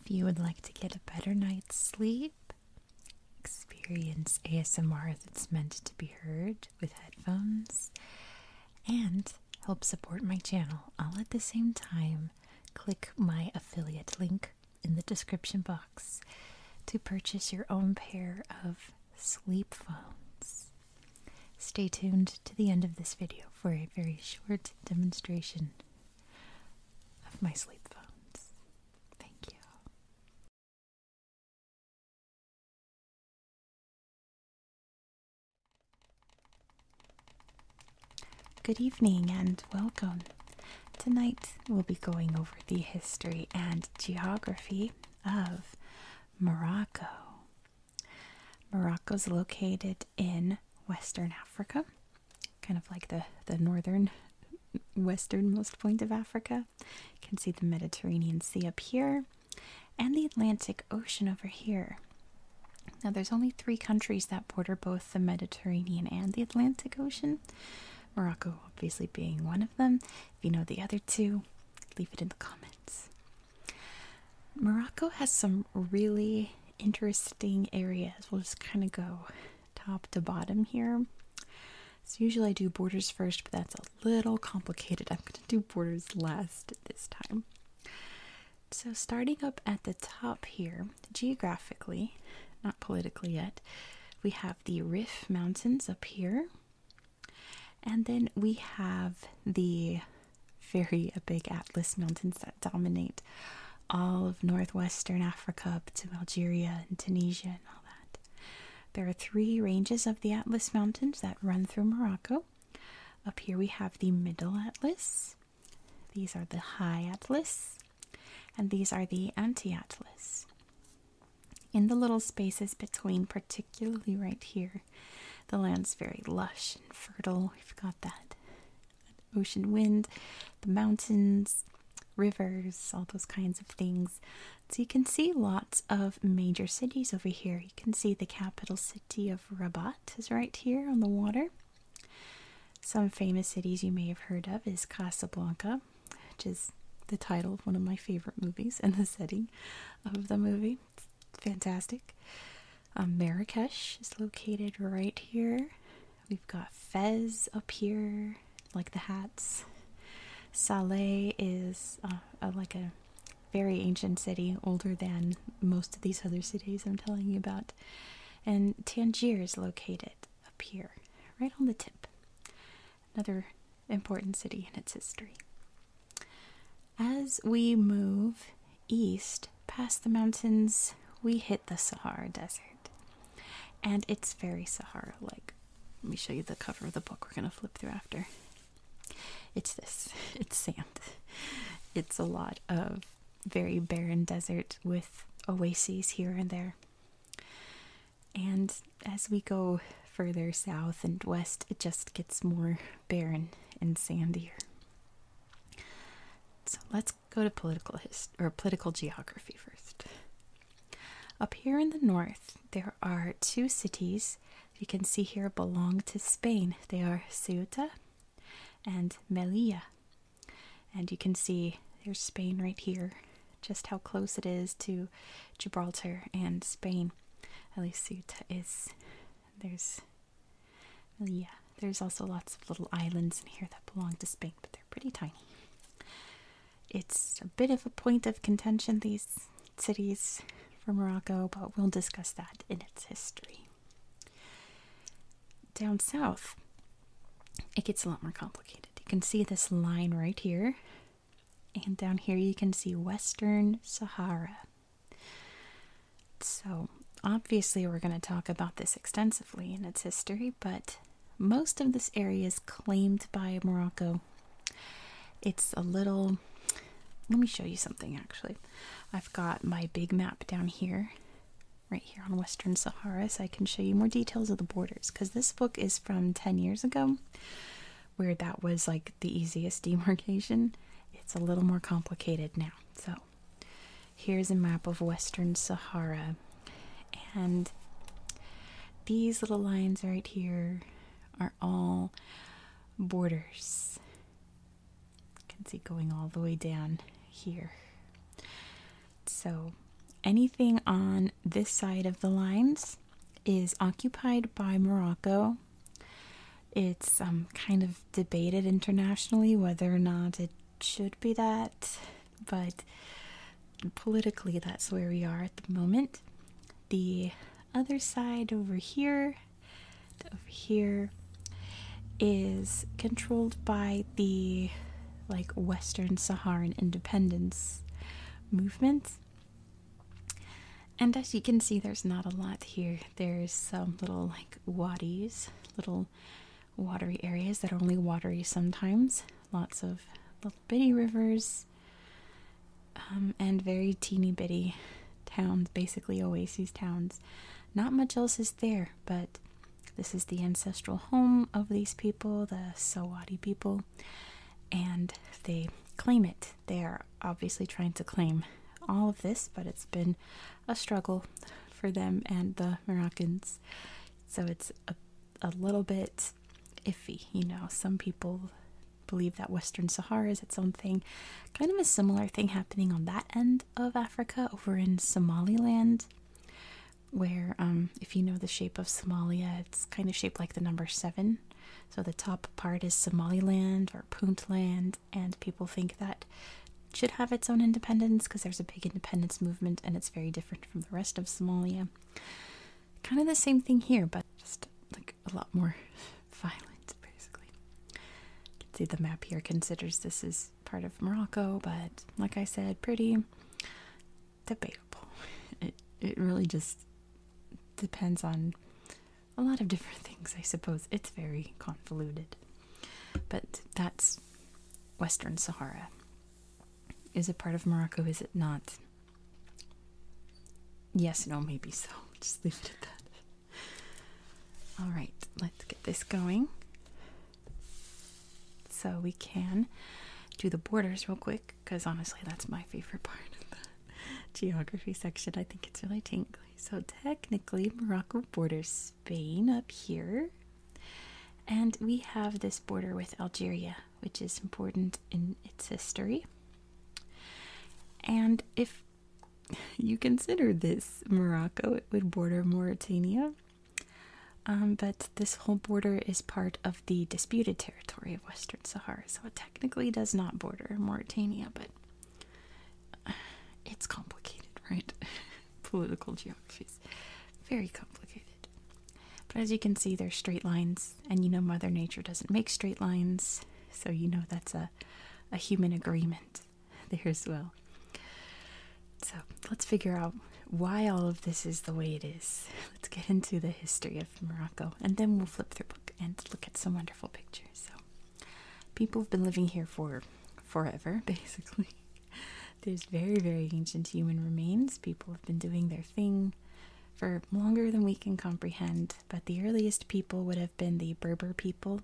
If you would like to get a better night's sleep, experience ASMR that's meant to be heard with headphones, and help support my channel all at the same time, click my affiliate link in the description box to purchase your own pair of sleep phones. Stay tuned to the end of this video for a very short demonstration of my sleep phones. Thank you. Good evening and welcome. Tonight we'll be going over the history and geography of Morocco. Morocco is located in Western Africa kind of like the, the northern, westernmost point of Africa. You can see the Mediterranean Sea up here and the Atlantic Ocean over here. Now, there's only three countries that border both the Mediterranean and the Atlantic Ocean. Morocco, obviously, being one of them. If you know the other two, leave it in the comments. Morocco has some really interesting areas. We'll just kind of go top to bottom here. So, usually I do borders first, but that's a little complicated. I'm going to do borders last this time. So, starting up at the top here, geographically, not politically yet, we have the Rif Mountains up here, and then we have the very uh, big atlas mountains that dominate all of northwestern Africa up to Algeria and Tunisia and all that. There are three ranges of the Atlas Mountains that run through Morocco. Up here we have the Middle Atlas, these are the High Atlas, and these are the Anti Atlas. In the little spaces between, particularly right here, the land's very lush and fertile. We've got that ocean wind, the mountains, rivers, all those kinds of things. So you can see lots of major cities over here. You can see the capital city of Rabat is right here on the water. Some famous cities you may have heard of is Casablanca, which is the title of one of my favorite movies and the setting of the movie. fantastic. Um, Marrakesh is located right here. We've got Fez up here, like the hats. Salé is uh, like a very ancient city, older than most of these other cities I'm telling you about. And Tangier is located up here, right on the tip. Another important city in its history. As we move east, past the mountains, we hit the Sahara Desert. And it's very Sahara like. Let me show you the cover of the book we're going to flip through after. It's this it's sand. It's a lot of very barren desert with oases here and there. And as we go further south and west, it just gets more barren and sandier. So let's go to political hist or political geography first. Up here in the north, there are two cities you can see here belong to Spain. They are Ceuta and Melilla. And you can see there's Spain right here, just how close it is to Gibraltar and Spain. At least Ceuta is. There's yeah, there's also lots of little islands in here that belong to Spain, but they're pretty tiny. It's a bit of a point of contention, these cities for Morocco, but we'll discuss that in its history. Down south, it gets a lot more complicated. You can see this line right here, and down here you can see Western Sahara. So, obviously, we're going to talk about this extensively in its history, but most of this area is claimed by Morocco. It's a little. Let me show you something actually. I've got my big map down here, right here on Western Sahara, so I can show you more details of the borders because this book is from 10 years ago, where that was like the easiest demarcation. It's a little more complicated now. So Here's a map of Western Sahara. And these little lines right here are all borders. You can see going all the way down here. So anything on this side of the lines is occupied by Morocco. It's um, kind of debated internationally whether or not it should be that, but politically, that's where we are at the moment. The other side over here, over here, is controlled by the like Western Saharan independence movement. And as you can see, there's not a lot here. There's some little like wadis, little watery areas that are only watery sometimes. Lots of little bitty rivers um, and very teeny bitty towns, basically oases towns. Not much else is there, but this is the ancestral home of these people, the Sawadi people, and they claim it. They are obviously trying to claim all of this, but it's been a struggle for them and the Moroccans. So it's a, a little bit iffy, you know. Some people believe that Western Sahara is its own thing. Kind of a similar thing happening on that end of Africa over in Somaliland, where, um, if you know the shape of Somalia, it's kind of shaped like the number seven. So the top part is Somaliland or Puntland, and people think that should have its own independence because there's a big independence movement and it's very different from the rest of Somalia. Kind of the same thing here, but just like a lot more violent, basically. You can see the map here considers this is part of Morocco, but like I said, pretty debatable. It it really just depends on a lot of different things, I suppose. It's very convoluted. But that's Western Sahara. Is it part of Morocco? Is it not? Yes, no, maybe so. Just leave it at that. All right, let's get this going. So we can do the borders real quick because honestly, that's my favorite part of the geography section. I think it's really tingly. So technically, Morocco borders Spain up here. And we have this border with Algeria, which is important in its history. And if you consider this Morocco, it would border Mauritania. Um, but this whole border is part of the disputed territory of Western Sahara, so it technically does not border Mauritania, but it's complicated, right? Political geographies very complicated. But as you can see, they're straight lines, and you know Mother Nature doesn't make straight lines, so you know that's a, a human agreement there as well. So let's figure out why all of this is the way it is. Let's get into the history of Morocco, and then we'll flip through book and look at some wonderful pictures. So people have been living here for forever, basically. There's very, very ancient human remains. People have been doing their thing for longer than we can comprehend, but the earliest people would have been the Berber people.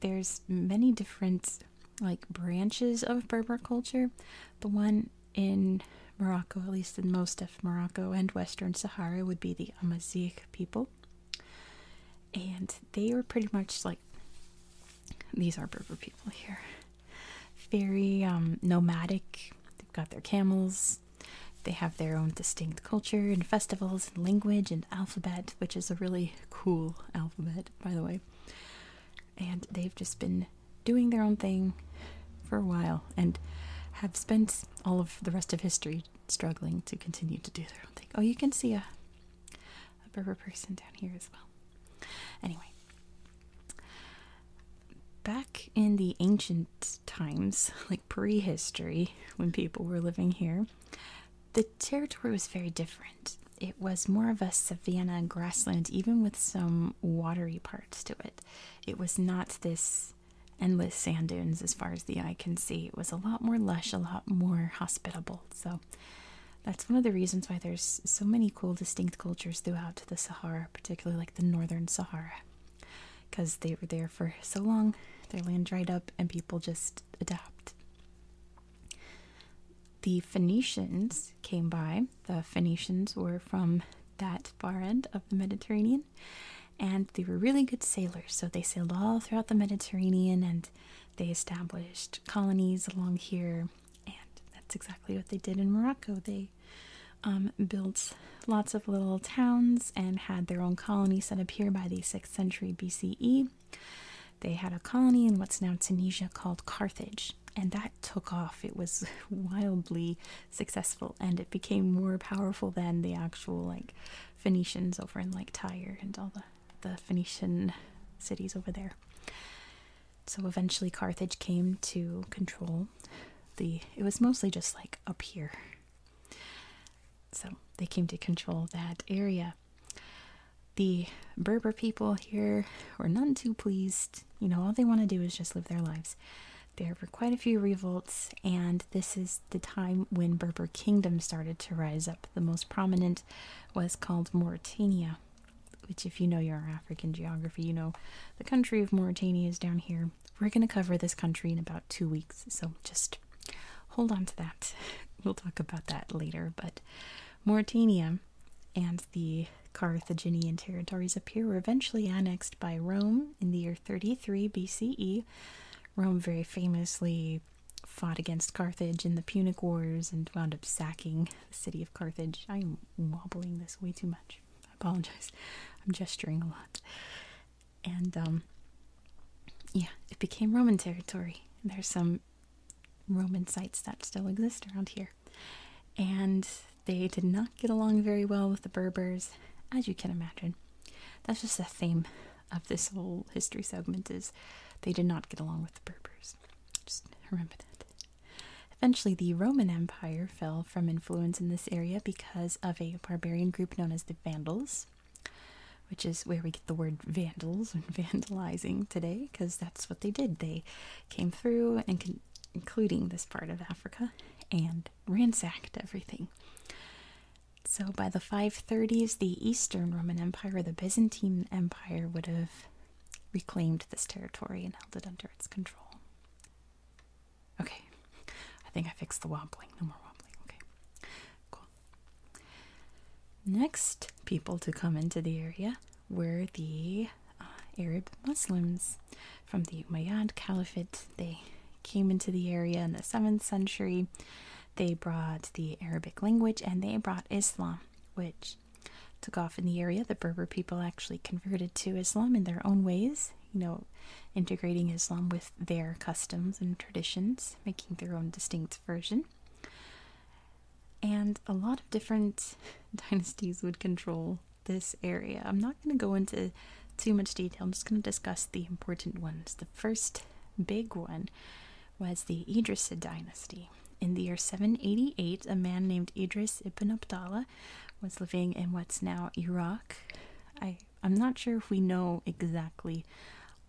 There's many different like branches of Berber culture. The one in Morocco, at least in most of Morocco and Western Sahara, would be the Amazigh people. And they are pretty much like these are Berber people here. Very um, nomadic. They've got their camels. They have their own distinct culture and festivals and language and alphabet, which is a really cool alphabet, by the way. And they've just been doing their own thing for a while and have spent all of the rest of history struggling to continue to do their own thing. Oh, you can see a a Berber person down here as well. Anyway, back in the ancient times, like prehistory, when people were living here, the territory was very different. It was more of a savanna grassland, even with some watery parts to it. It was not this endless sand dunes as far as the eye can see. It was a lot more lush, a lot more hospitable. So that's one of the reasons why there's so many cool distinct cultures throughout the Sahara, particularly like the northern Sahara, because they were there for so long, their land dried up, and people just adapt. The Phoenicians came by. The Phoenicians were from that far end of the Mediterranean, and they were really good sailors. So they sailed all throughout the Mediterranean, and they established colonies along here. And that's exactly what they did in Morocco. They um, built lots of little towns and had their own colony set up here by the 6th century BCE. They had a colony in what's now Tunisia called Carthage, and that took off. It was wildly successful and it became more powerful than the actual like Phoenicians over in like Tyre and all the, the Phoenician cities over there. So eventually Carthage came to control the it was mostly just like up here. So they came to control that area. The Berber people here were none too pleased. You know, all they want to do is just live their lives. There were quite a few revolts, and this is the time when Berber kingdom started to rise up. The most prominent was called Mauritania which, if you know your African geography, you know the country of Mauritania is down here. We're going to cover this country in about two weeks, so just hold on to that. We'll talk about that later. But Mauritania and the Carthaginian territories up here were eventually annexed by Rome in the year 33 BCE. Rome very famously fought against Carthage in the Punic Wars and wound up sacking the city of Carthage. I am wobbling this way too much. I apologize. I'm gesturing a lot. And um, yeah, it became Roman territory. There's some Roman sites that still exist around here. And they did not get along very well with the Berbers, as you can imagine. That's just the theme of this whole history segment is they did not get along with the Berbers. Just remember that. Eventually, the Roman Empire fell from influence in this area because of a barbarian group known as the Vandals, which is where we get the word vandals and vandalizing today, because that's what they did. They came through, and including this part of Africa, and ransacked everything. So by the 530s, the Eastern Roman Empire, the Byzantine Empire, would have reclaimed this territory and held it under its control. Okay, I think I fixed the wobbling. No more wobbling. Okay, cool. Next people to come into the area were the uh, Arab Muslims from the Umayyad Caliphate. They came into the area in the 7th century. They brought the Arabic language and they brought Islam, which took off in the area. The Berber people actually converted to Islam in their own ways, you know, integrating Islam with their customs and traditions, making their own distinct version. And a lot of different dynasties would control this area. I'm not going to go into too much detail, I'm just going to discuss the important ones. The first big one was the Idrisid dynasty. In the year 788, a man named Idris ibn Abdallah was living in what's now Iraq. I, am not sure if we know exactly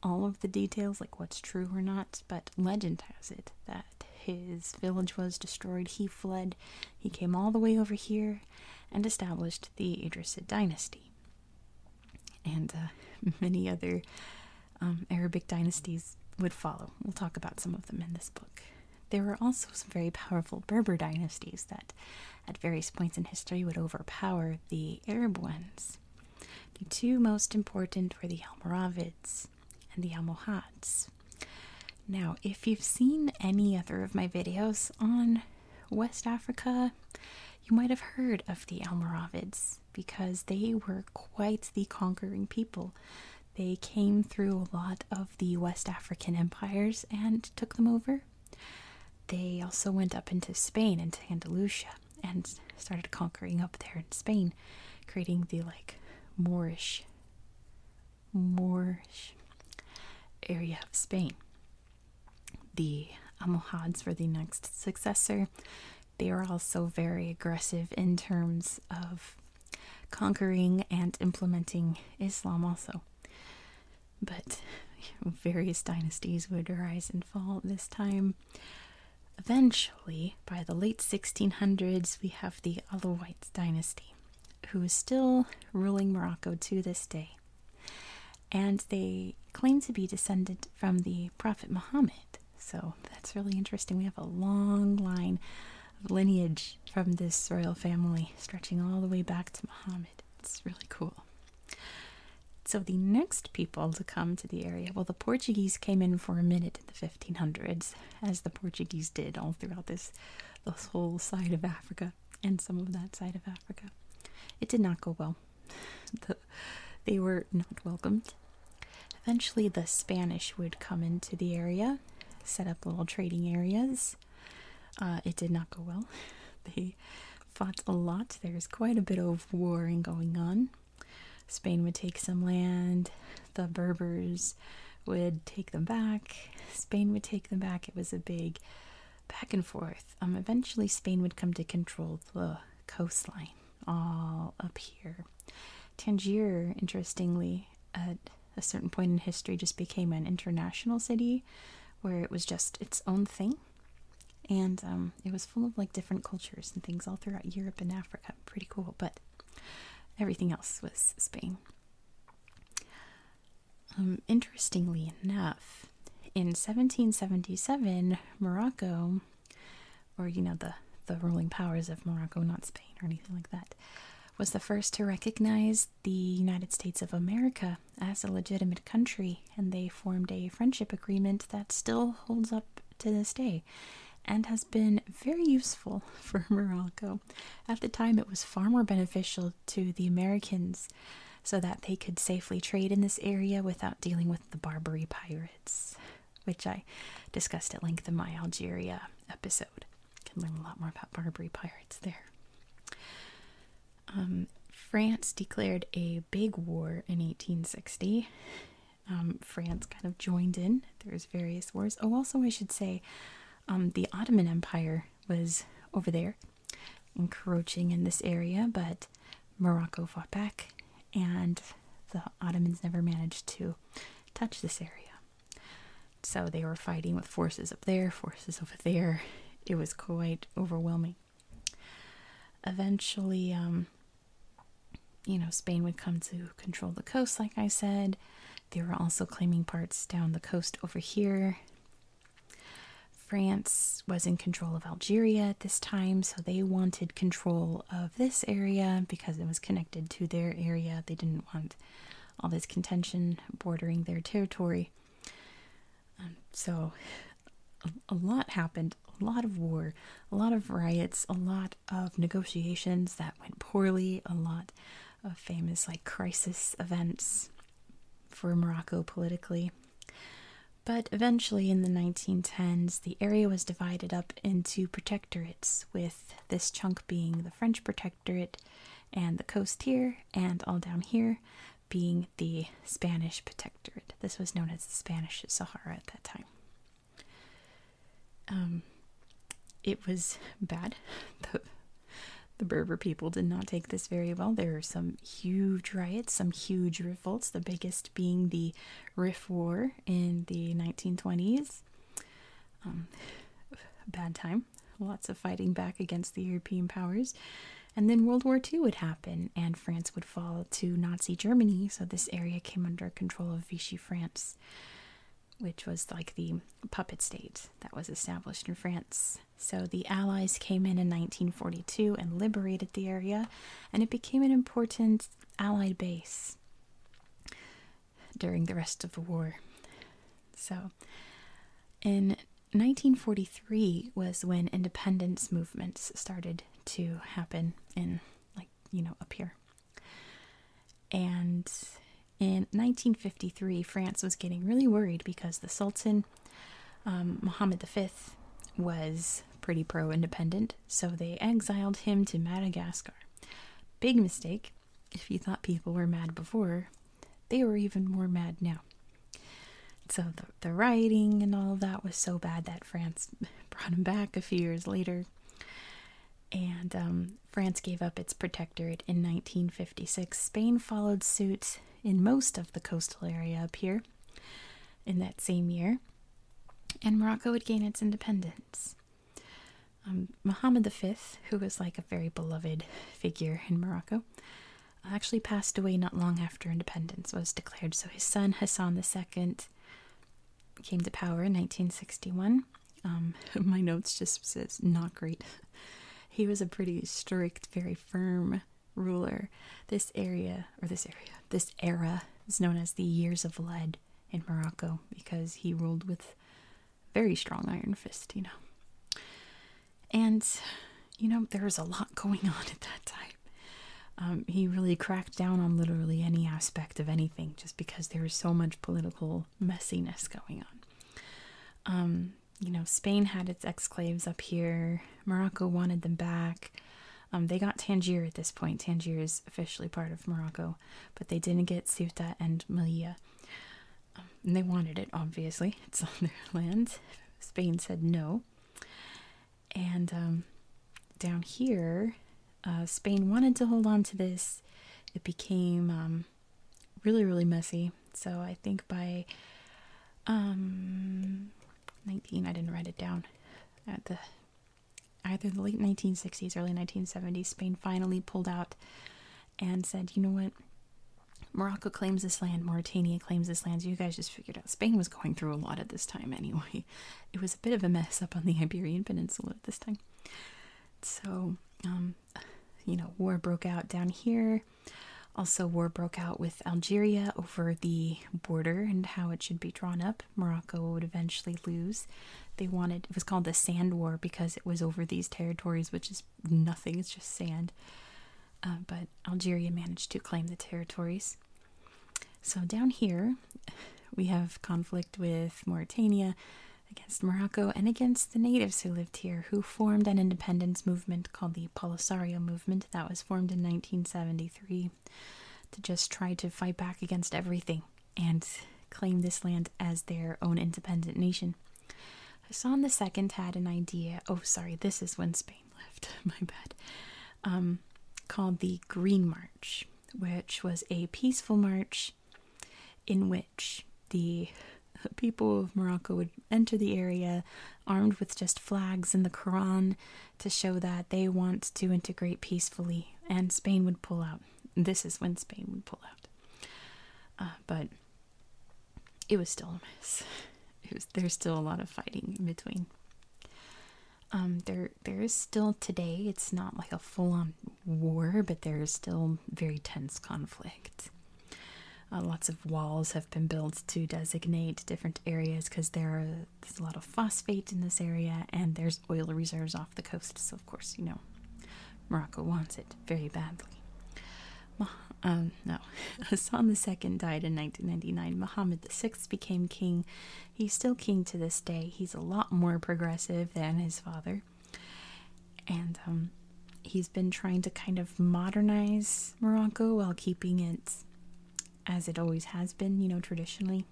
all of the details, like what's true or not, but legend has it that his village was destroyed, he fled, he came all the way over here and established the Idrisid dynasty. And uh, many other um, Arabic dynasties would follow. We'll talk about some of them in this book. There were also some very powerful Berber dynasties that, at various points in history, would overpower the Arab ones. The two most important were the Almoravids and the Almohads. Now, if you've seen any other of my videos on West Africa, you might have heard of the Almoravids because they were quite the conquering people they came through a lot of the West African empires and took them over. They also went up into Spain, into Andalusia, and started conquering up there in Spain, creating the like Moorish, Moorish area of Spain. The Almohads were the next successor, they were also very aggressive in terms of conquering and implementing Islam, also. But various dynasties would rise and fall this time. Eventually, by the late 1600s, we have the Alawite dynasty, who is still ruling Morocco to this day. And they claim to be descended from the Prophet Muhammad. So that's really interesting. We have a long line of lineage from this royal family stretching all the way back to Muhammad. It's really cool. So the next people to come to the area, well, the Portuguese came in for a minute in the 1500s, as the Portuguese did all throughout this, this whole side of Africa and some of that side of Africa. It did not go well. they were not welcomed Eventually, the Spanish would come into the area, set up little trading areas. Uh, it did not go well. They fought a lot. There's quite a bit of warring going on. Spain would take some land, the Berbers would take them back, Spain would take them back. It was a big back and forth. Um, eventually, Spain would come to control the coastline all up here. Tangier, interestingly, at a certain point in history, just became an international city where it was just its own thing. And um, it was full of like different cultures and things all throughout Europe and Africa. Pretty cool, but everything else was Spain. Um, interestingly enough, in 1777, Morocco or you know the the ruling powers of Morocco, not Spain or anything like that, was the first to recognize the United States of America as a legitimate country, and they formed a friendship agreement that still holds up to this day and has been very useful for Morocco. At the time, it was far more beneficial to the Americans so that they could safely trade in this area without dealing with the Barbary pirates which I discussed at length in my Algeria episode. Can learn a lot more about Barbary pirates there. Um, France declared a big war in 1860. Um, France kind of joined in. There was various wars. Oh, also I should say, um, the Ottoman Empire was over there, encroaching in this area, but Morocco fought back, and the Ottomans never managed to touch this area. So they were fighting with forces up there, forces over there. It was quite overwhelming. Eventually, um, you know, Spain would come to control the coast, like I said. They were also claiming parts down the coast over here. France was in control of Algeria at this time, so they wanted control of this area because it was connected to their area. They didn't want all this contention bordering their territory. Um, so, a lot happened a lot of war, a lot of riots, a lot of negotiations that went poorly, a lot of famous like crisis events for Morocco politically. But eventually, in the 1910s, the area was divided up into protectorates with this chunk being the French protectorate and the coast here, and all down here being the Spanish protectorate. This was known as the Spanish Sahara at that time. Um, it was bad. The, the Berber people did not take this very well. There were some huge riots, some huge revolts, the biggest being the Rif War in the 1920s. Um, bad time, lots of fighting back against the European powers. And then World War II would happen, and France would fall to Nazi Germany, so this area came under control of Vichy France, which was like the puppet state that was established in France. So the Allies came in in 1942 and liberated the area, and it became an important Allied base during the rest of the war. So, in 1943 was when independence movements started to happen in, like, you know, up here. And in 1953, France was getting really worried because the Sultan, um, Mohammed V, was pretty pro independent, so they exiled him to Madagascar. Big mistake if you thought people were mad before, they were even more mad now. So the, the rioting and all that was so bad that France brought him back a few years later. And um, France gave up its protectorate in 1956. Spain followed suit in most of the coastal area up here in that same year. And Morocco would gain its independence. Um, Muhammad V, who was like a very beloved figure in Morocco, actually passed away not long after independence was declared. So his son Hassan II came to power in 1961. Um, my notes just says not great. He was a pretty strict, very firm ruler. This area, or this area, this era is known as the Years of Lead in Morocco because he ruled with very strong iron fist, you know. And, you know, there was a lot going on at that time. Um, he really cracked down on literally any aspect of anything just because there was so much political messiness going on. Um, you know, Spain had its exclaves up here, Morocco wanted them back. Um, they got Tangier at this point. Tangier is officially part of Morocco but they didn't get Ceuta and Malia. Um, and they wanted it, obviously. It's on their land. Spain said no. And um, down here, uh, Spain wanted to hold on to this. It became um, really, really messy. So I think by 19, I didn't write it down at the either the late 1960s, early 1970s, Spain finally pulled out and said, you know what? Morocco claims this land, Mauritania claims this land. You guys just figured out Spain was going through a lot at this time anyway. It was a bit of a mess up on the Iberian Peninsula at this time. So, um, you know, war broke out down here. Also, war broke out with Algeria over the border and how it should be drawn up. Morocco would eventually lose. They wanted it was called the Sand War because it was over these territories, which is nothing, it's just sand. Uh, but Algeria managed to claim the territories. So down here, we have conflict with Mauritania against Morocco and against the natives who lived here, who formed an independence movement called the Polisario Movement that was formed in 1973 to just try to fight back against everything and claim this land as their own independent nation. Hassan Second had an idea. Oh, sorry, this is when Spain left. My bad. Um, called the Green March, which was a peaceful march in which the people of Morocco would enter the area armed with just flags and the Quran to show that they want to integrate peacefully, and Spain would pull out. This is when Spain would pull out. Uh, but it was still a mess. there's still a lot of fighting between. Um, there, there is still today. It's not like a full-on war, but there is still very tense conflict. Uh, lots of walls have been built to designate different areas because there are, there's a lot of phosphate in this area, and there's oil reserves the coast, so of course, you know, Morocco wants it very badly. Um, no, Hassan II died in 1999. Mohammed VI became king. He's still king to this day. He's a lot more progressive than his father. And um, he's been trying to kind of modernize Morocco while keeping it as it always has been, you know, traditionally.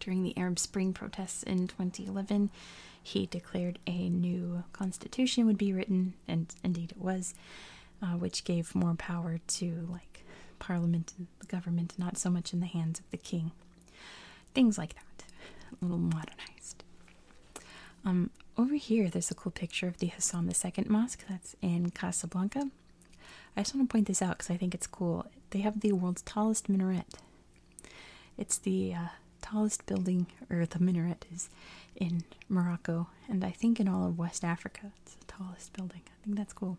During the Arab Spring protests in 2011, he declared a new constitution would be written, and indeed it was, uh, which gave more power to like parliament and the government, not so much in the hands of the king. Things like that, a little modernized. Um, over here, there's a cool picture of the Hassan II Mosque that's in Casablanca. I just want to point this out because I think it's cool. They have the world's tallest minaret it's the uh, tallest building, or the minaret is in Morocco, and I think in all of West Africa. It's the tallest building. I think that's cool.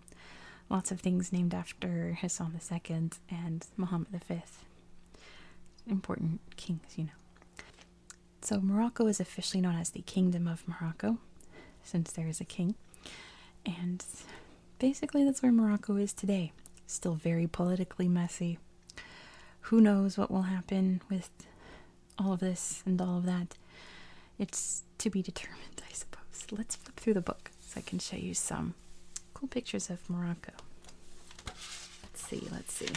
Lots of things named after Hassan the Second and Mohammed the Fifth. Important kings, you know. So, Morocco is officially known as the Kingdom of Morocco, since there is a king. And basically, that's where Morocco is today. Still very politically messy. Who knows what will happen with all of this and all of that? It's to be determined, I suppose. Let's flip through the book so I can show you some cool pictures of Morocco. Let's see, let's see.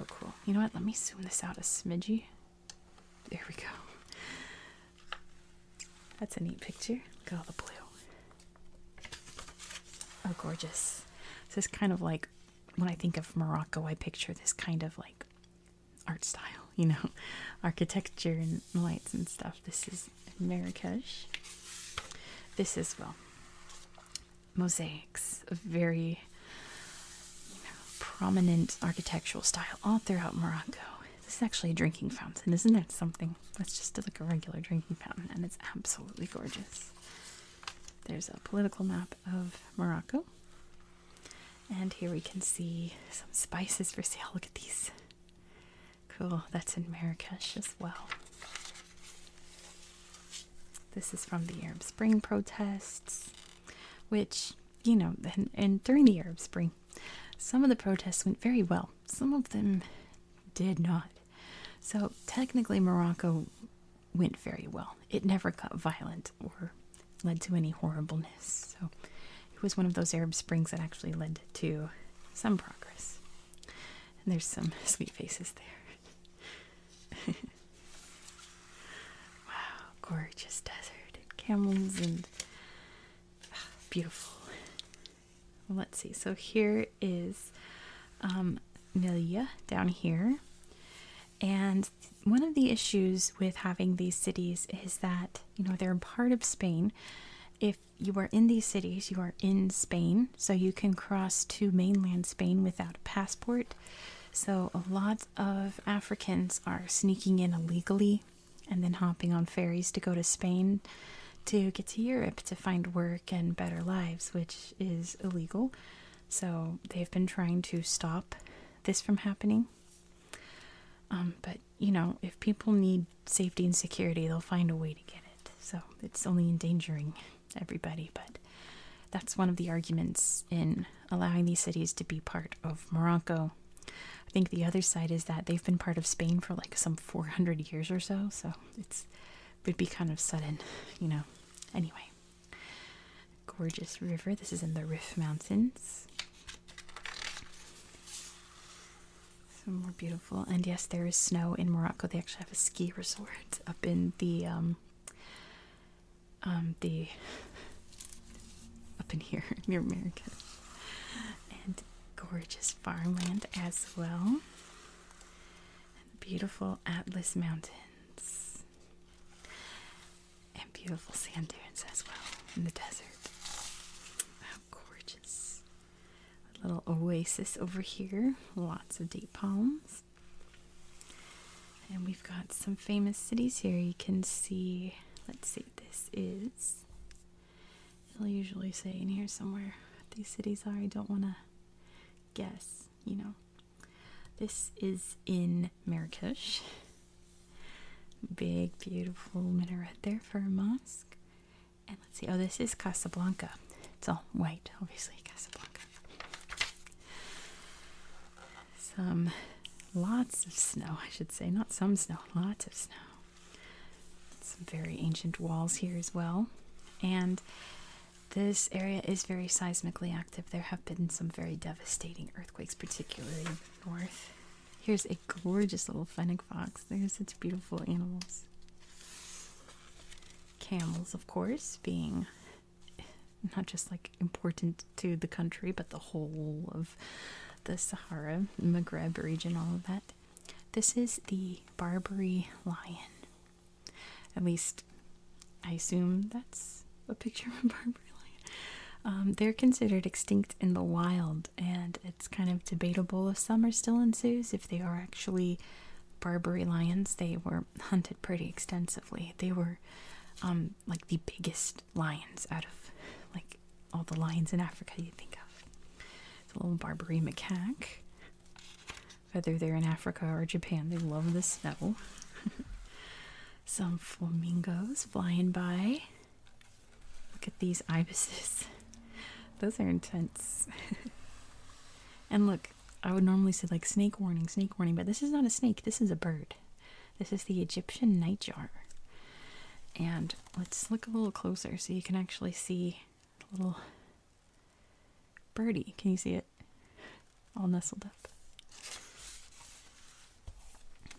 Oh, cool. You know what? Let me zoom this out a smidgy. There we go. That's a neat picture. Look at all the blue. Oh, gorgeous. this is kind of like when I think of Morocco, I picture this kind of like art style, you know, architecture and lights and stuff. This is Marrakesh. This is, well, mosaics, a very prominent architectural style all throughout Morocco. This is actually a drinking fountain, isn't that something? that's just like a regular drinking fountain, and it's absolutely gorgeous. There's a political map of Morocco, and here we can see some spices for sale. Look at these. Cool, that's in Marrakesh as well. This is from the Arab Spring protests, which, you know, and during the Arab Spring, some of the protests went very well. Some of them did not. So technically, Morocco went very well. It never got violent or led to any horribleness. So it was one of those Arab Springs that actually led to some progress. And there's some sweet faces there. wow, gorgeous desert and camels and ah, beautiful let's see. So here is Melia um, down here. And one of the issues with having these cities is that, you know, they're part of Spain. If you are in these cities, you are in Spain, so you can cross to mainland Spain without a passport. So a lot of Africans are sneaking in illegally and then hopping on ferries to go to Spain to get to Europe to find work and better lives, which is illegal. So they've been trying to stop this from happening. Um, but you know, if people need safety and security, they'll find a way to get it. So it's only endangering everybody, but that's one of the arguments in allowing these cities to be part of Morocco. I think the other side is that they've been part of Spain for like some 400 years or so, so so it's would be kind of sudden, you know. Anyway, gorgeous river. This is in the Rif Mountains. Some more beautiful, and yes, there is snow in Morocco. They actually have a ski resort up in the um, um the up in here near America, and gorgeous farmland as well beautiful Atlas Mountains and beautiful sand dunes as well in the desert. How gorgeous! little oasis over here, lots of date palms. And we've got some famous cities here. You can see, let's see, this is It'll usually say in here somewhere what these cities are. I don't want to guess, you know. This is in Marrakesh. Big, beautiful minaret there for a mosque. And let's see, oh, this is Casablanca. It's all white, obviously, Casablanca. Some lots of snow, I should say. Not some snow, lots of snow. Some very ancient walls here as well. And this area is very seismically active. There have been some very devastating earthquakes, particularly north. Here's a gorgeous little fennec fox. They're such beautiful animals. Camels, of course, being not just like important to the country, but the whole of the Sahara, Maghreb region, all of that. This is the Barbary lion. At least, I assume that's a picture of a Barbary lion. Um, they're considered extinct in the wild, and it's kind of debatable if some are still ensues If they are actually Barbary lions, they were hunted pretty extensively. They were um, like the biggest lions out of like all the lions in Africa you think of. It's a little Barbary macaque. Whether they're in Africa or Japan, they love the snow. Some flamingos flying by. Look at these ibises. Those are intense. and look, I would normally say like snake warning, snake warning, but this is not a snake, this is a bird. This is the Egyptian nightjar. And let's look a little closer so you can actually see a little Birdie, can you see it? All nestled up.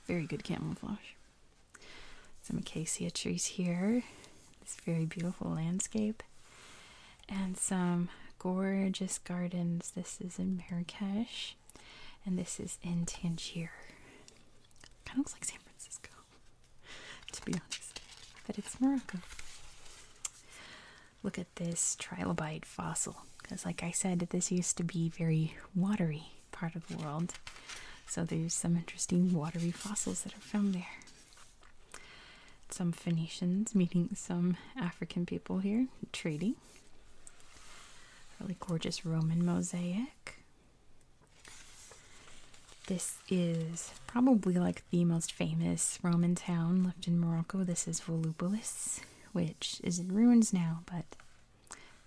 Very good camouflage. Some acacia trees here. This very beautiful landscape. And some gorgeous gardens. This is in Marrakesh. And this is in Tangier. Kind of looks like San Francisco. to be honest. But it's Morocco. Look at this trilobite fossil. Because, like I said, this used to be very watery part of the world. So there's some interesting watery fossils that are found there. Some Phoenicians meeting some African people here, trading. Really gorgeous Roman mosaic. This is probably like the most famous Roman town left in Morocco. This is Volubilis, which is in ruins now, but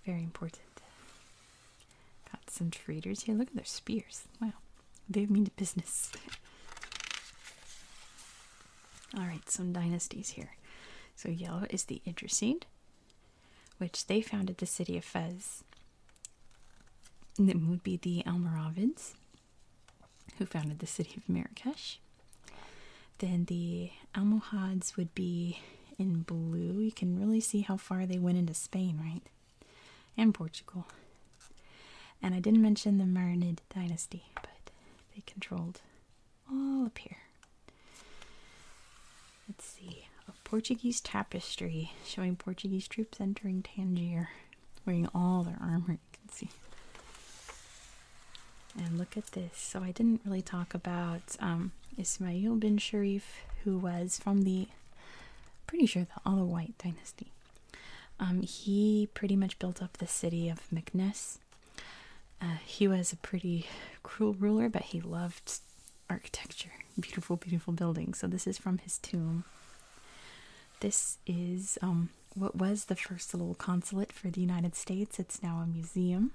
very important. Got some traders here. Look at their spears. Wow, they mean business. Alright, some dynasties here. So, yellow is the Idrisid, which they founded the city of Fez and then would be the Almoravids, who founded the city of Marrakesh. Then the Almohads would be in blue. You can really see how far they went into Spain, right? And Portugal. And I didn't mention the Marinid dynasty, but they controlled all up here. Let's see. A Portuguese tapestry showing Portuguese troops entering Tangier wearing all their armor, you can see. And look at this. So I didn't really talk about um, Ismail bin Sharif, who was from the, pretty sure the Alawite dynasty. Um, he pretty much built up the city of Meknes. Uh, he was a pretty cruel ruler, but he loved architecture, beautiful, beautiful buildings. So this is from his tomb. This is um, what was the first little consulate for the United States. It's now a museum.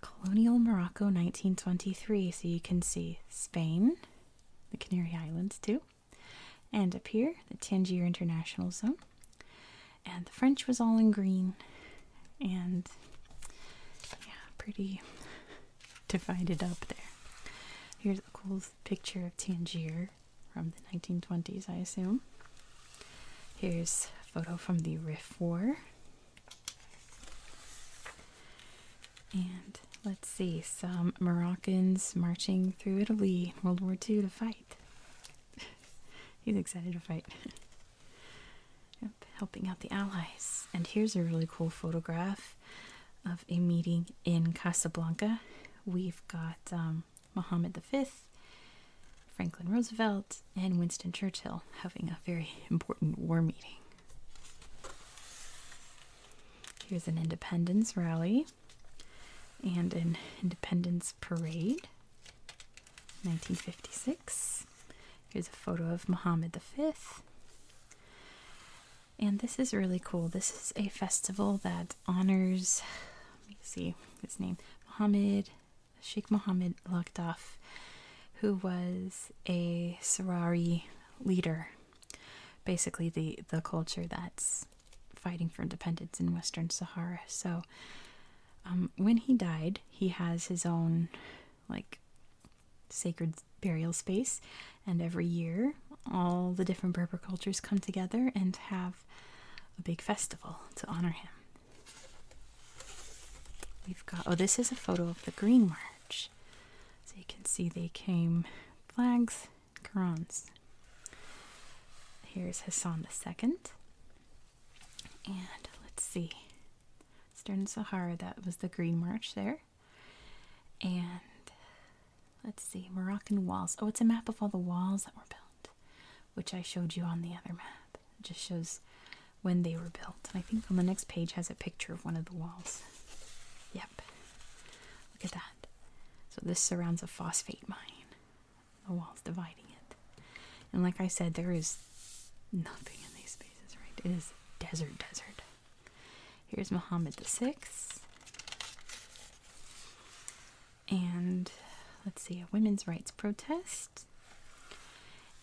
Colonial Morocco 1923. So you can see Spain, the Canary Islands too, and up here, the Tangier International Zone. And the French was all in green. And yeah, pretty divided up there. Here's a cool picture of Tangier from the 1920s, I assume. Here's a photo from the Rif War. And let's see, some Moroccans marching through Italy in World War II to fight. He's excited to fight. helping out the Allies. And here's a really cool photograph of a meeting in Casablanca. We've got um, Mohammed V, Franklin Roosevelt, and Winston Churchill having a very important war meeting. Here's an independence rally and an independence parade, 1956. Here's a photo of Mohammed V. And this is really cool. This is a festival that honors, let me see his name, Muhammad, Sheikh Mohammed Lughdoff, who was a Sarari leader. Basically, the, the culture that's fighting for independence in Western Sahara. So, um, when he died, he has his own, like, sacred burial space. And every year, all the different Berber cultures come together and have a big festival to honor him. We've got, oh, this is a photo of the Green March. So you can see they came flags, Qurans. Here's Hassan II. And let's see, Stern Sahara, that was the Green March there. And let's see, Moroccan walls. Oh, it's a map of all the walls that were built, which I showed you on the other map. It just shows when they were built. I think on the next page has a picture of one of the walls. Yep. Look at that. So this surrounds a phosphate mine. The walls dividing it. And like I said, there is nothing in these spaces, right? It is desert, desert. Here's Mohammed VI. And let's see, a women's rights protest.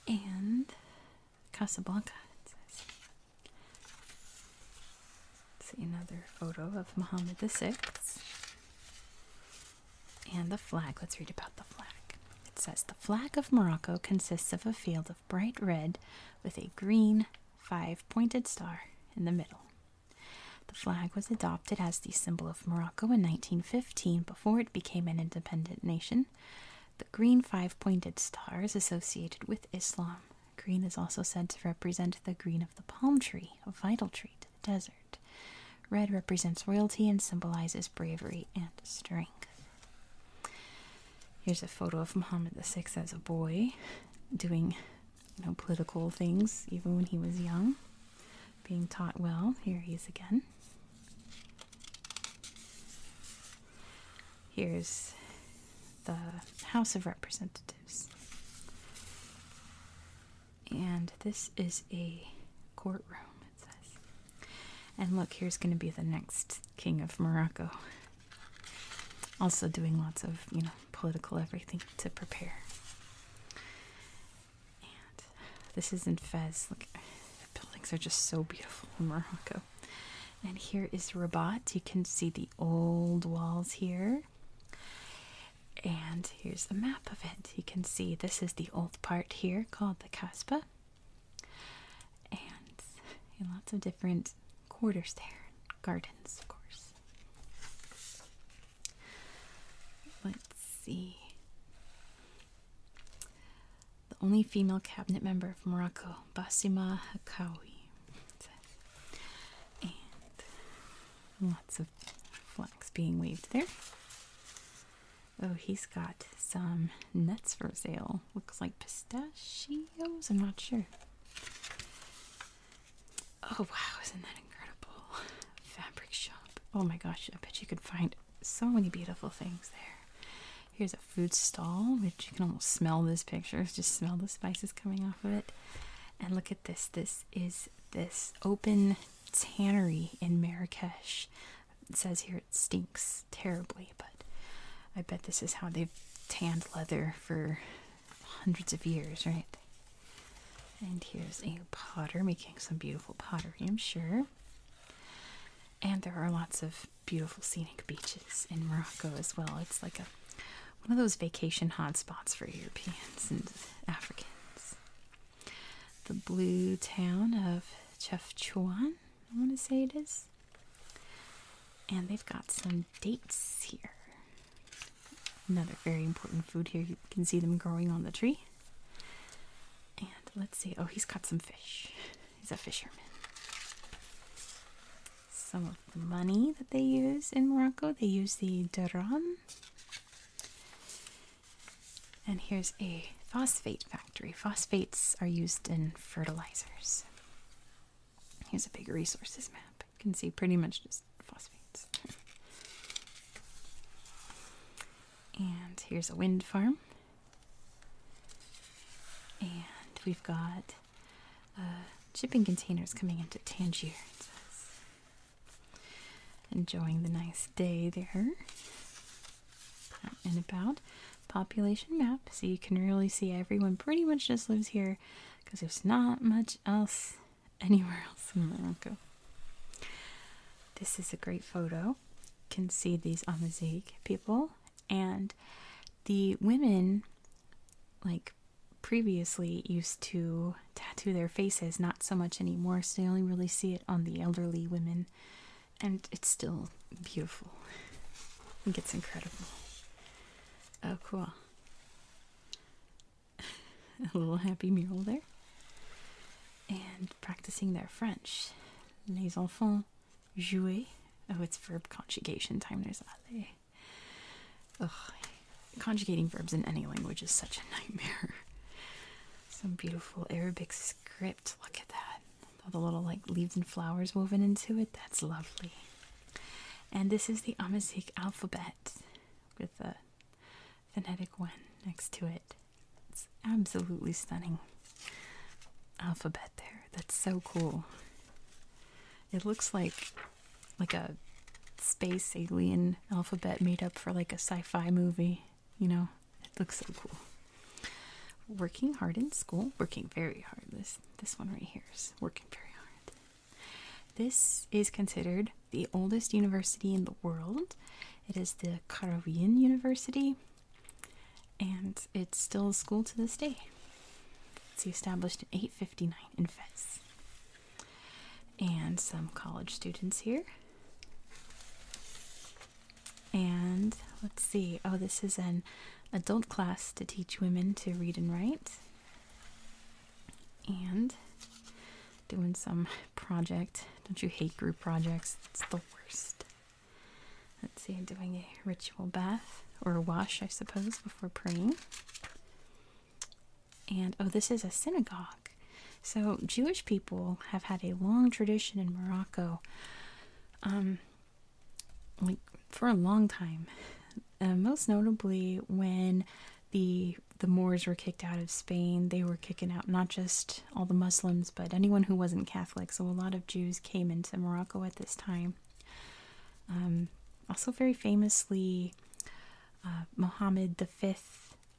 And Casablanca. Let's see another photo of Mohammed VI. And the flag. Let's read about the flag. It says the flag of Morocco consists of a field of bright red with a green five pointed star in the middle. The flag was adopted as the symbol of Morocco in 1915 before it became an independent nation. The green five pointed star is associated with Islam. Green is also said to represent the green of the palm tree, a vital tree to the desert. Red represents royalty and symbolizes bravery and strength. Here's a photo of Muhammad VI as a boy doing you know, political things, even when he was young. Being taught well. Here he is again. Here's the House of Representatives. And this is a courtroom, it says. And look, here's going to be the next king of Morocco. Also, doing lots of you know political everything to prepare. this is in Fez. Look, the buildings are just so beautiful in Morocco. And here is Rabat. You can see the old walls here. And here's the map of it. You can see this is the old part here called the Kasbah. And lots of different quarters there, gardens, of course. Let's see. The only female cabinet member of Morocco, Basima Hakawi, and lots of flags being waved there. Oh, he's got some nuts for sale. Looks like pistachios. I'm not sure. Oh wow, isn't that incredible? Fabric shop. Oh my gosh, I bet you could find so many beautiful things there. Here's a food stall, which you can almost smell this picture. Just smell the spices coming off of it. And look at this. This is this open tannery in Marrakesh. It says here it stinks terribly, but I bet this is how they've tanned leather for hundreds of years, right? And here's a potter making some beautiful pottery, I'm sure. And there are lots of beautiful scenic beaches in Morocco as well. It's like a one of those vacation hotspots for Europeans and Africans. The blue town of Chefchaouen, I want to say it is. And they've got some dates here. Another very important food here. You can see them growing on the tree. And let's see. Oh, he's got some fish. He's a fisherman. Some of the money that they use in Morocco, they use the dirham. And here's a phosphate factory. Phosphates are used in fertilizers. Here's a big resources map. You can see pretty much just phosphates. and here's a wind farm. And we've got uh, shipping containers coming into Tangier, Enjoying the nice day there. and about. Population map, so you can really see everyone pretty much just lives here because there's not much else anywhere else in Morocco. This is a great photo. You can see these Amazigh people and the women like previously used to tattoo their faces, not so much anymore, so you only really see it on the elderly women. And it's still beautiful. I think it's incredible. Oh, cool. a little happy mural there. And practicing their French. Les enfants jouer. Oh, it's verb conjugation time. There's aller. Ugh, conjugating verbs in any language is such a nightmare. Some beautiful Arabic script. Look at that. All the little like leaves and flowers woven into it. That's lovely. And this is the Amazigh alphabet with the phonetic one next to it. It's absolutely stunning alphabet there. That's so cool. It looks like like a space alien alphabet made up for like a sci-fi movie, you know. It looks so cool. Working hard in school, working very hard. This this one right here is working very hard. This is considered the oldest university in the world. It is the Karolingian University, and it's still a school to this day. It's established in 859 in Fez. And some college students here. And let's see, oh, this is an adult class to teach women to read and write and doing some project. Don't you hate group projects? It's the worst. Let's see, doing a ritual bath or wash, I suppose, before praying. And oh, this is a synagogue. So, Jewish people have had a long tradition in Morocco. Um, like for a long time, uh, most notably when the the Moors were kicked out of Spain. They were kicking out not just all the Muslims, but anyone who wasn't Catholic. So a lot of Jews came into Morocco at this time. Um, also, very famously, uh, Mohammed V,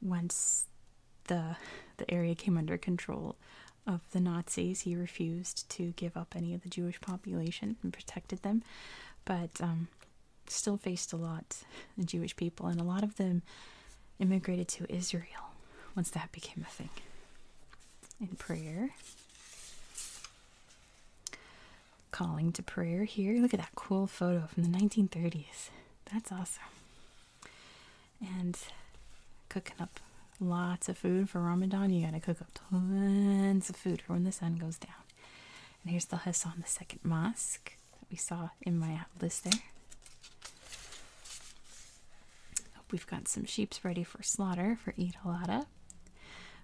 once the the area came under control of the Nazis, he refused to give up any of the Jewish population and protected them. But um, still faced a lot, the Jewish people, and a lot of them immigrated to Israel once that became a thing. In prayer, calling to prayer here. Look at that cool photo from the 1930s. That's awesome. And cooking up lots of food for Ramadan. You gotta cook up tons of food for when the sun goes down. And here's the Hassan Second Mosque that we saw in my list there. We've got some sheeps ready for slaughter for Eid al-Adha,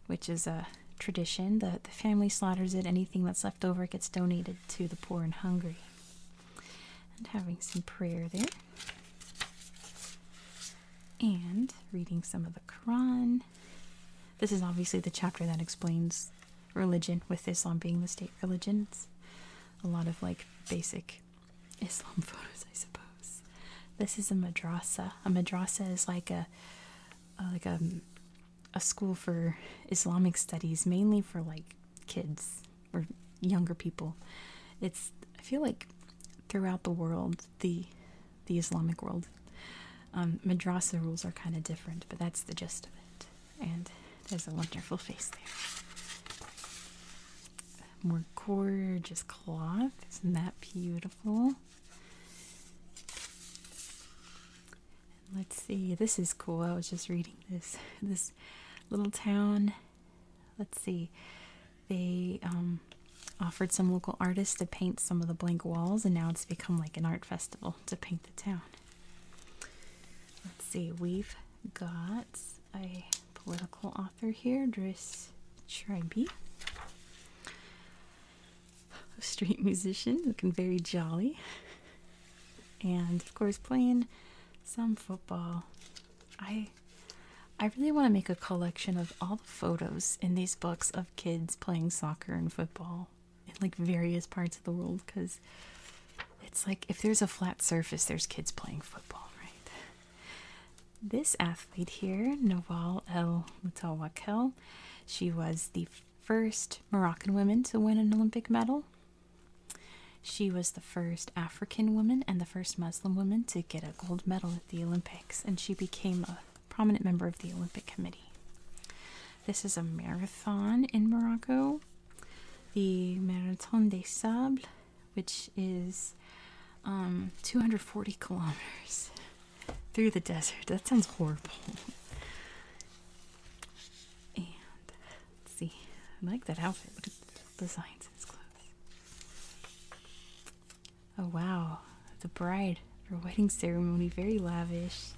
which is a tradition. The, the family slaughters it. Anything that's left over gets donated to the poor and hungry. And having some prayer there. And reading some of the Quran. This is obviously the chapter that explains religion, with Islam being the state religion. It's a lot of like basic Islam photos, I suppose. This is a madrasa. A madrasa is like a, uh, like a, um, a school for Islamic studies, mainly for like kids or younger people. It's I feel like throughout the world the the Islamic world. Um, madrasa rules are kind of different, but that's the gist of it. And there's a wonderful face there. More gorgeous cloth. Isn't that beautiful? let's see. This is cool. I was just reading this. This little town. Let's see. They um, offered some local artists to paint some of the blank walls, and now it's become like an art festival to paint the town. Let's see, we've got a political author here, Driss Tribe, a street musician looking very jolly, and of course playing some football. I I really want to make a collection of all the photos in these books of kids playing soccer and football in like various parts of the world because it's like if there's a flat surface, there's kids playing football, right? This athlete here, Nawal El Mutawakel, she was the first Moroccan woman to win an Olympic medal. She was the first African woman and the first Muslim woman to get a gold medal at the Olympics, and she became a prominent member of the Olympic Committee. This is a marathon in Morocco, the Marathon des Sables, which is um, 240 kilometers through the desert. That sounds horrible. and see, I like that outfit. the designs in his clothes. Oh wow, the bride for wedding ceremony, very lavish.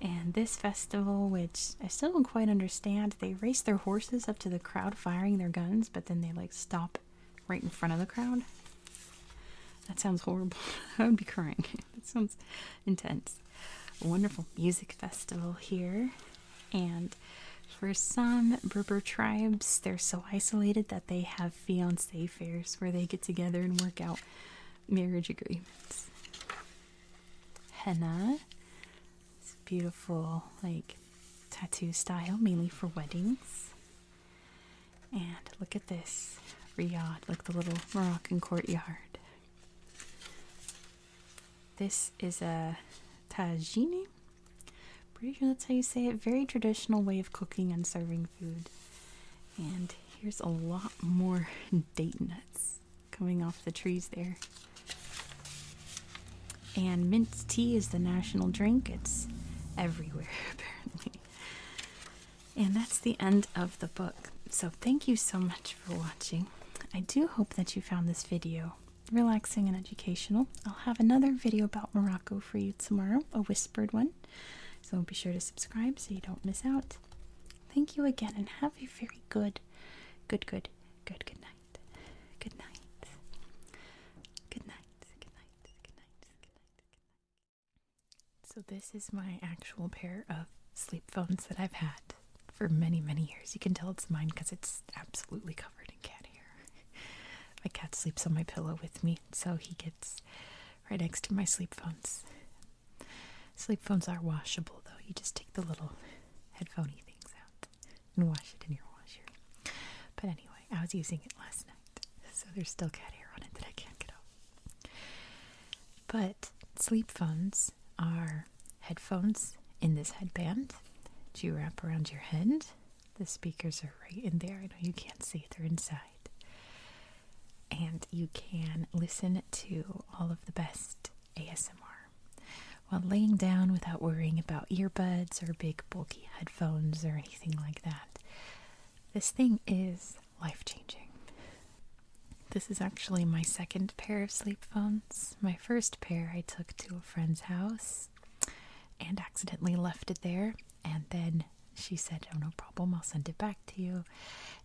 And this festival, which I still don't quite understand, they race their horses up to the crowd firing their guns, but then they like stop right in front of the crowd. That sounds horrible. I would be crying. that sounds intense. wonderful music festival here. And for some Berber tribes, they're so isolated that they have fiancé fairs where they get together and work out marriage agreements. Henna. It's beautiful, like tattoo style, mainly for weddings. And look at this riad, like the little Moroccan courtyard. This is a tagine. Pretty sure that's how you say it. Very traditional way of cooking and serving food. And here's a lot more date nuts coming off the trees there. And mint tea is the national drink. It's everywhere, apparently. And that's the end of the book. So thank you so much for watching. I do hope that you found this video relaxing and educational. I'll have another video about Morocco for you tomorrow, a whispered one. So be sure to subscribe so you don't miss out. Thank you again and have a very good, good, good, good, good night. Good night. Good night. Good night. Good night. Good night. So this is my actual pair of sleep phones that I've had for many, many years. You can tell it's mine because it's absolutely covered in cat hair. my cat sleeps on my pillow with me, so he gets right next to my sleep phones. Sleep phones are washable, though. You just take the little headphoney things out and wash it in your washer. But anyway, I was using it last night, so there's still cat hair on it that I can't get off. But sleep phones are headphones in this headband Do you wrap around your head. The speakers are right in there. I know you can't see; they're inside. And you can listen to all of the best ASMR while laying down without worrying about earbuds or big bulky headphones or anything like that. This thing is life changing. This is actually my second pair of sleep phones. My first pair I took to a friend's house and accidentally left it there and then she said, Oh, no problem, I'll send it back to you.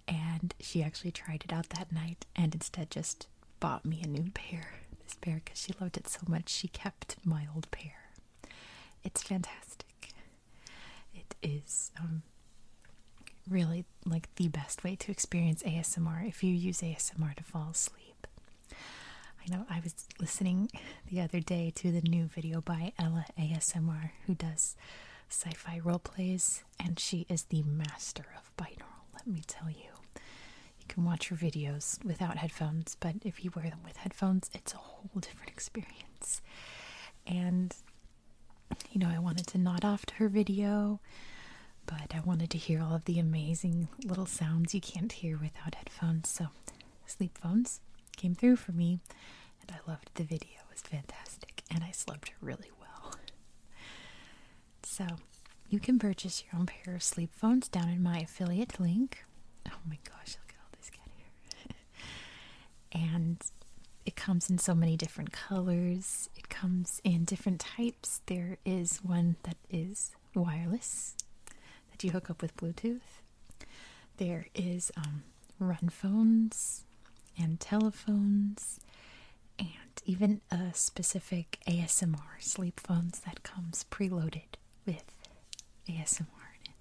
And she actually tried it out that night and instead just bought me a new pair. This pair, because she loved it so much, she kept my old pair. It's fantastic. It is um, really like the best way to experience ASMR if you use ASMR to fall asleep. I know I was listening the other day to the new video by Ella ASMR, who does sci fi role plays, and she is the master of binaural, let me tell you. You can watch her videos without headphones, but if you wear them with headphones, it's a whole different experience. And, you know, I wanted to nod off to her video, but I wanted to hear all of the amazing little sounds you can't hear without headphones, so sleep phones came through for me and I loved the video. It was fantastic, and I slept really well. So, you can purchase your own pair of sleep phones down in my affiliate link. Oh my gosh, look at all this cat here. and it comes in so many different colors, it comes in different types. There is one that is wireless that you hook up with Bluetooth. There is um, run phones and telephones and even a specific ASMR sleep phone that comes preloaded with ASMR in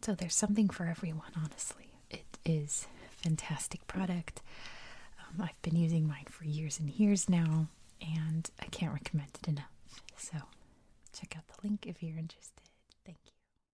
So there's something for everyone, honestly. It is fantastic product. Um, I've been using mine for years and years now, and I can't recommend it enough. So check out the link if you're interested. Thank you.